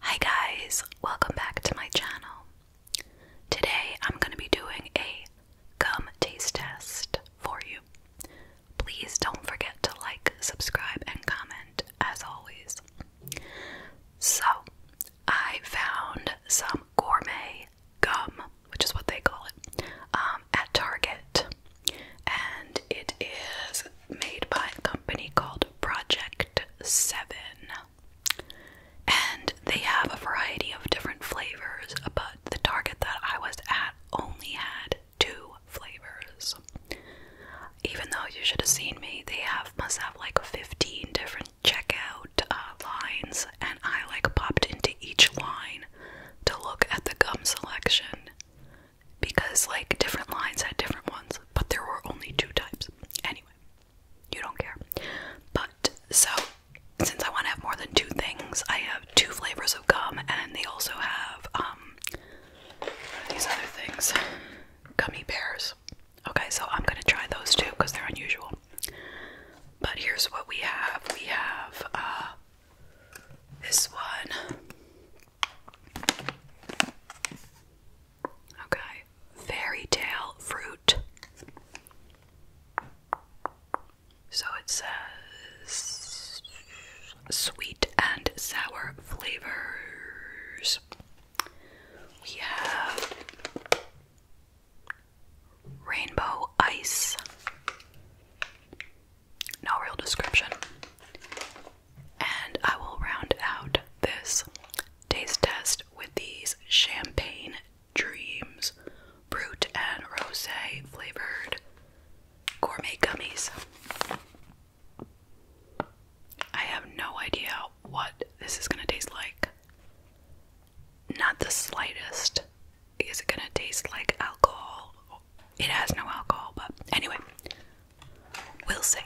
Hi guys, welcome back to my channel. Today I'm going to be doing a gum taste test for you. Please don't forget to like, subscribe, and comment as always. So, I found some gourmet gum, which is what they call it, um, at Target. And it is made by a company called Project 7. And they have a variety of different flavors, but the Target that I was at only had two flavors. Even though you should have seen me, they have must have like 15 different checkout uh, lines, and I like popped into each line to look at the gum selection because like different lines had different ones, but there were only two types. Anyway, you don't care. But so since I want to have more than two things, I have two flavors of gum, and they also have um these other things, gummy bears. Okay, so I'm gonna try those too because they're unusual. But here's what we have. We have uh, this one. Okay. Fairy tale fruit. So it says sweet and sour flavors. We have Rainbow ice. No real description. And I will round out this taste test with these champagne dreams brut and rose flavored gourmet gummies. I have no idea what this is going to taste like not the slightest. Is it gonna taste like alcohol? It has no alcohol, but anyway, we'll see.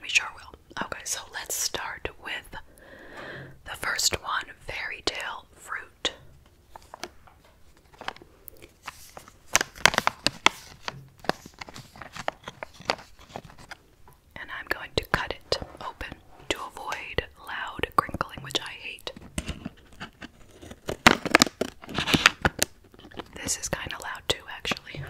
We sure will. Okay, so let's start with the first one fairy tale fruit and I'm going to cut it open to avoid loud crinkling, which I hate. This is kind of loud too, actually.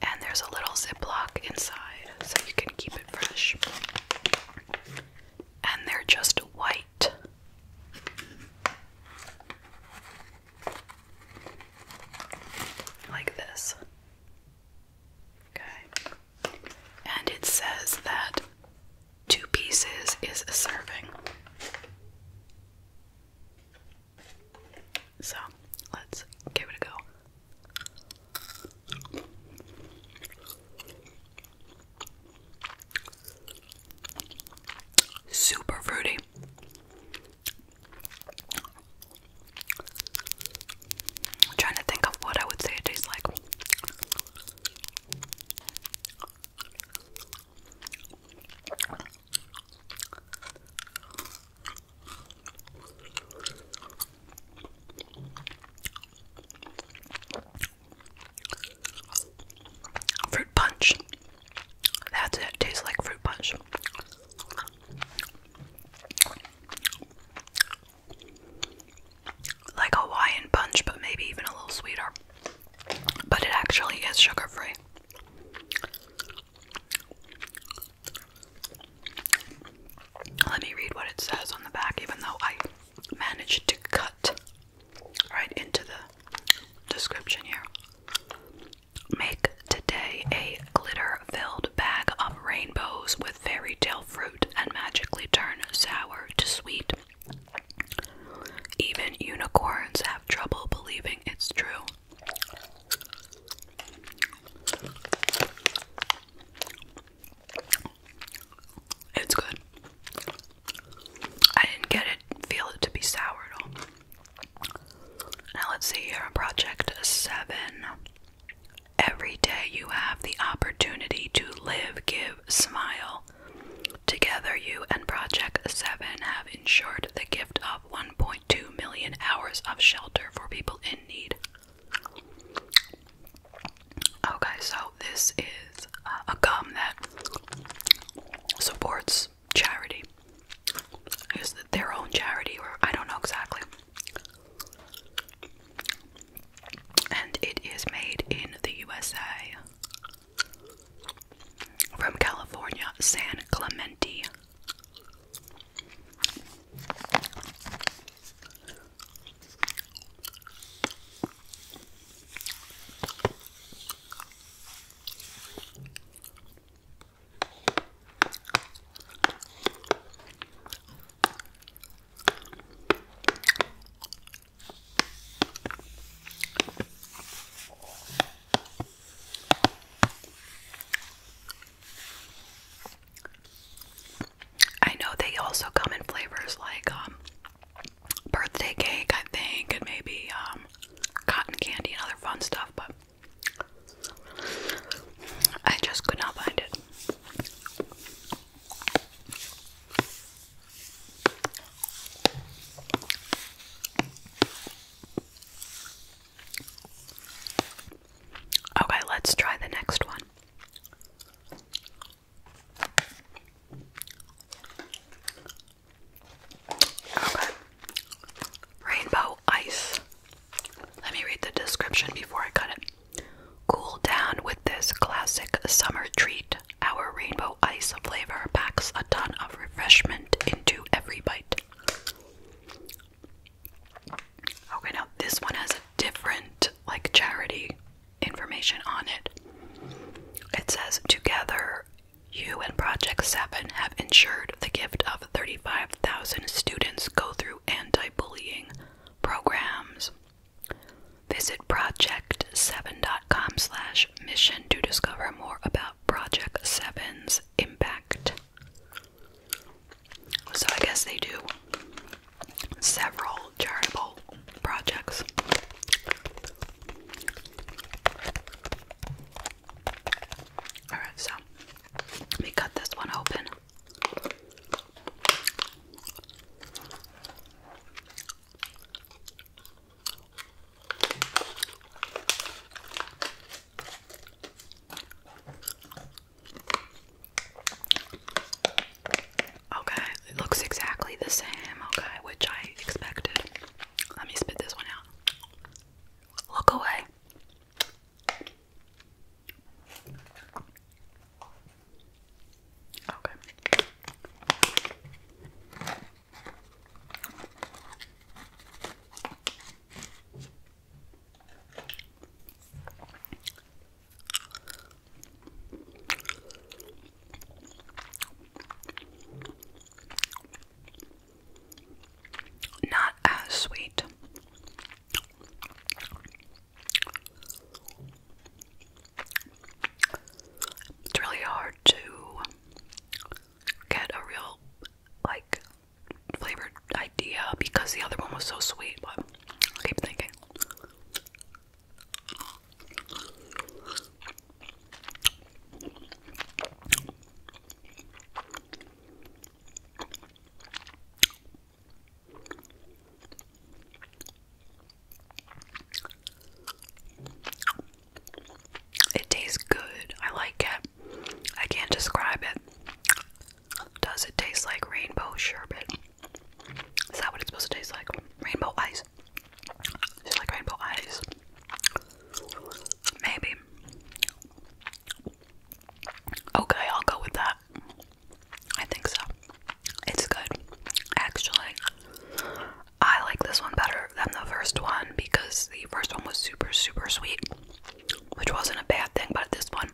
And there's a little ziplock inside so you can keep it fresh. And they're just white. Like this. Okay. And it says that two pieces is a serving. So let's give it a go. Super fruity. trying to think of what I would say it tastes like. Fruit punch. That's it. Tastes like fruit punch. Like Hawaiian punch, but maybe even a little sweeter but it actually is sugar free. Let me read what it says on the back, even though I managed to cut right into the description here. Make today a glitter filled bag of rainbows with fairy tale fruit and magically turn sour to sweet even unicorns have trouble believing it's true. It's good. I didn't get it, feel it to be sour Now let's see here, project seven. Every day you have the opportunity to live, give, smile. Together, you and Project 7 have ensured the gift of 1.2 million hours of shelter for people in need. Okay, so this is uh, a gum that supports charity. Is their own charity, or I don't know exactly. And it is made in the USA from California, San Clemente. I know they also come in flavors like um birthday cake, I think, and maybe um cotton candy and other fun stuff, but I just could not find it. Okay, let's try the next one. Rainbow ice. Let me read the description before I cut it. Cool down with this classic summer treat our rainbow ice flavor packs a ton of refreshment into every bite. Okay, now this one has a different, like, charity information on it. It says, Together, you and Project 7 have ensured the gift of 35,000 students go through anti bullying programs. Visit project7 dot com slash mission to discover more about Project Seven's impact. So I guess they do several charitable projects. Alright, so let me cut this one open. Okay, it looks exactly the same, okay, which I expected. Let me spit this one out. Look away. Okay. Not as sweet. It's really hard to get a real like flavored idea because the other one was so sweet, but I keep thinking. It tastes good. I like it. I can't describe it. Does it taste like rainbow sherbet? Is that what it's supposed to taste like? Rainbow ice. It's like rainbow ice. Maybe. Okay, I'll go with that. I think so. It's good. Actually, I like this one better than the first one because the first one was super, super sweet, which wasn't a bad thing, but this one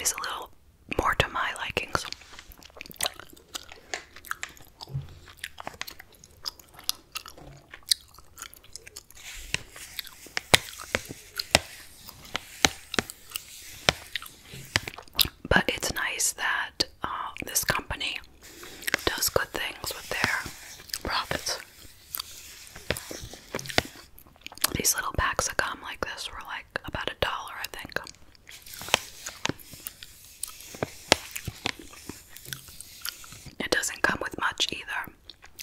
is a little more to my likings. But it's nice that uh, this company does good things with their profits. These little packs of gum like this were like about a dollar, I think. It doesn't come with much either.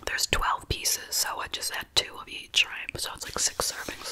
There's 12 pieces, so I just had two of each, right? So it's like six servings.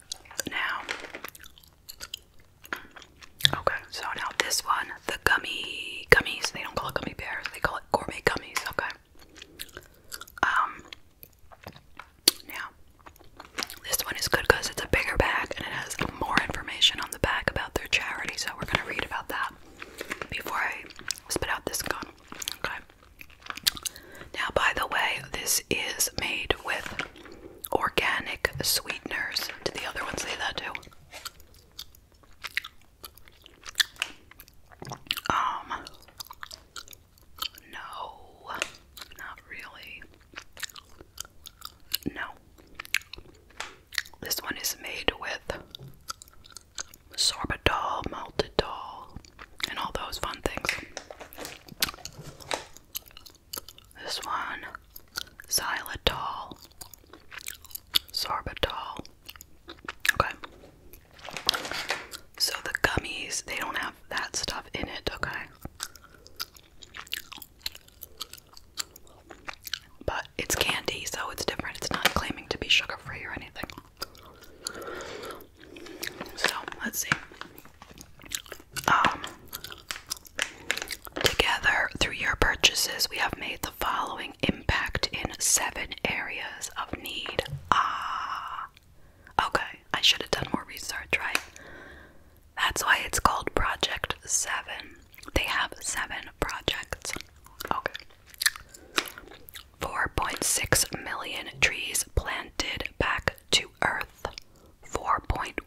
now. Okay, so now this one, the gummy gummies, they don't call it gummy bears, they call it gourmet gummies, okay. Um now this one is good because it's a bigger bag and it has more information on the back about their charity, so we're gonna read about that before I spit out this gun. Okay. Now, by the way, this is made with organic sweeteners. Did the other ones say that too? Um, no, not really. No. This one is made with sorbitol, maltitol, and all those fun things. This one, xylitol, sorbitol. Okay. So the gummies, they don't have that stuff in it, okay? But it's candy, so it's different. It's not claiming to be sugar free or anything. So let's see. Um, together, through your purchases, we have made the following impact in seven areas of need. Ah, okay. I should have done more research, right? That's why it's called Project Seven. They have seven projects. Okay. 4.6 million trees planted back to earth. 4.1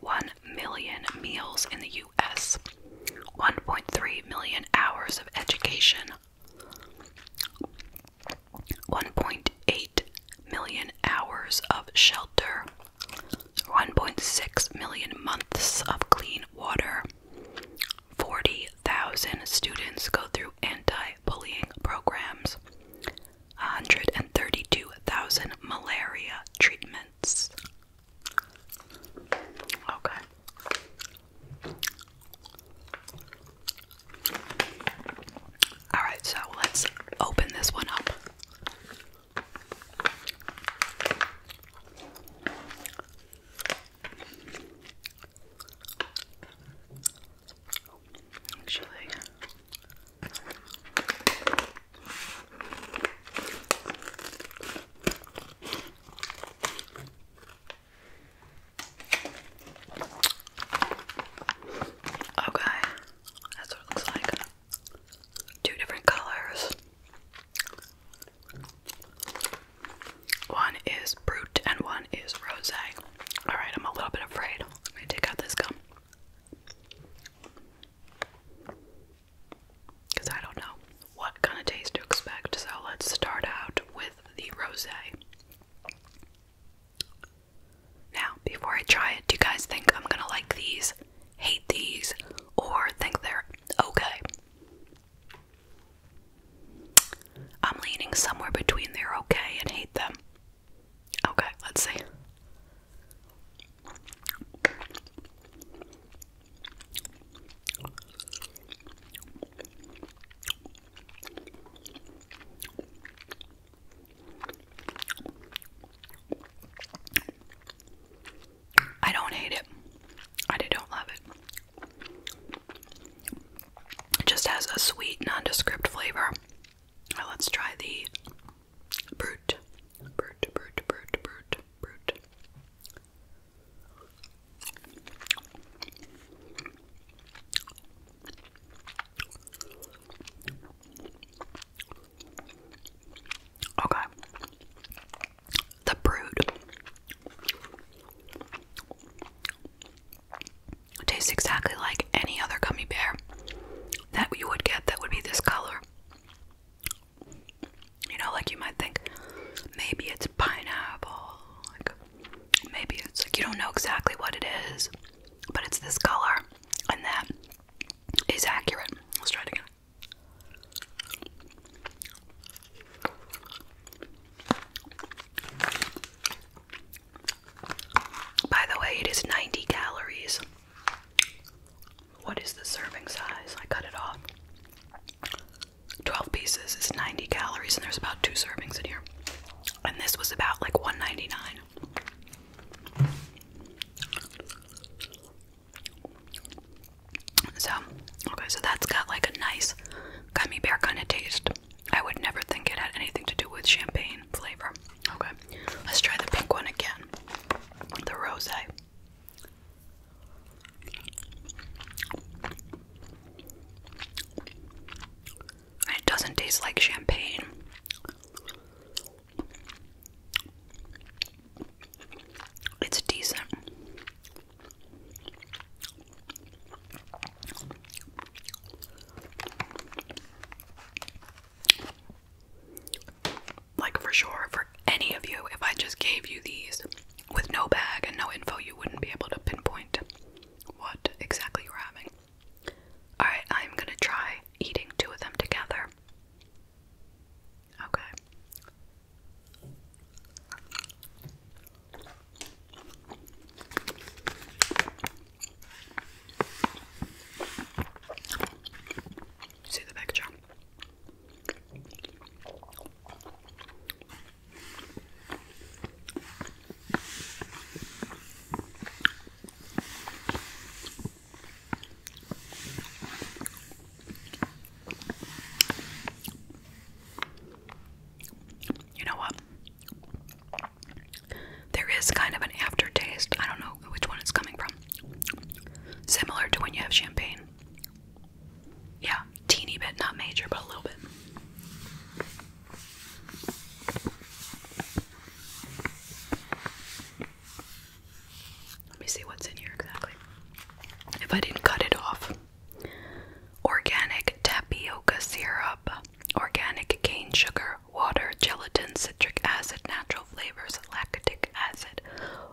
million meals in the US. 1.3 million hours of education. 1.8 million hours of shelter. 1.6 million months of clean water. 40,000 students go through anti bullying programs. 132,000 malaria treatments. Okay. All right, so let's open this one up. Actually, okay, oh, that's what it looks like. Two different colors. One is brut and one is rosé. Alright, I'm a little bit afraid. I'm gonna take out this gum. Because I don't know what kind of taste to expect. So let's start out with the rose. Now, before I try it, do you guys think I'm gonna like these, hate these, or think they're okay? I'm leaning somewhere between they're okay and hate them. Okay, let's see. I don't hate it. I don't love it. It just has a sweet, nondescript flavor. Now uh, let's try the brute. Brute, brute, brute, brute, brute. Okay. The brood tastes exactly like any other gummy bear that you would get that would be this color. You know, like you might think maybe it's pineapple, like maybe it's like you don't know exactly what it is, but it's this color, and that is accurate. Let's try it again. By the way, it is 90 calories. What is the serving size? I cut it off. 12 pieces is 90 calories, and there's about two servings in here. And this was about like 199. So, okay, so that's got like a nice gummy bear kind of taste. I would never think it had anything to do with champagne flavor. Okay, let's try the pink one again. The rosé. It doesn't taste like champagne. It's decent. Like, for sure, for any of you, if I just gave you these with no bag and no info, you wouldn't be able to pinpoint what exactly you're having. Alright, I'm gonna try eating two of them together. Okay. See the picture. You know what? There is kind of an aftertaste. I don't know which one it's coming from. Similar to when you have champagne. Yeah, teeny bit, not major, but a little bit. Let me see what's in here exactly. If I didn't cut it off, organic tapioca syrup, organic cane sugar, water, gelatin, citric acid, natural flavors, lactic acid,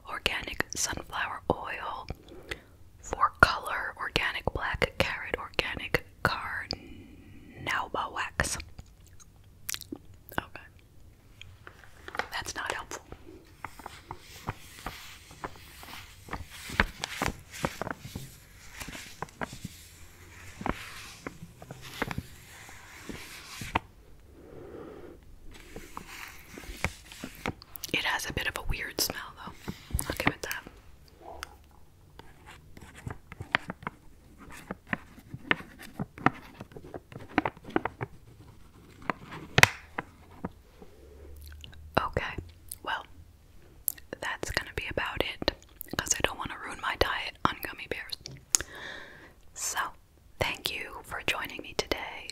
organic sunflower oil, for color, organic black carrot, organic carnauba wax. Okay. That's not helpful. It has a bit of a weird smell, though. I'll give it that. Okay, well, that's gonna be about it because I don't want to ruin my diet on gummy bears. So, thank you for joining me today.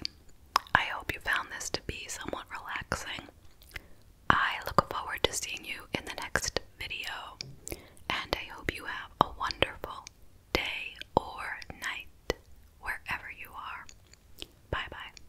I hope you found this to be somewhat relaxing. I look forward to seeing you in the next video, and I hope you have a wonderful day or night wherever you are. Bye bye.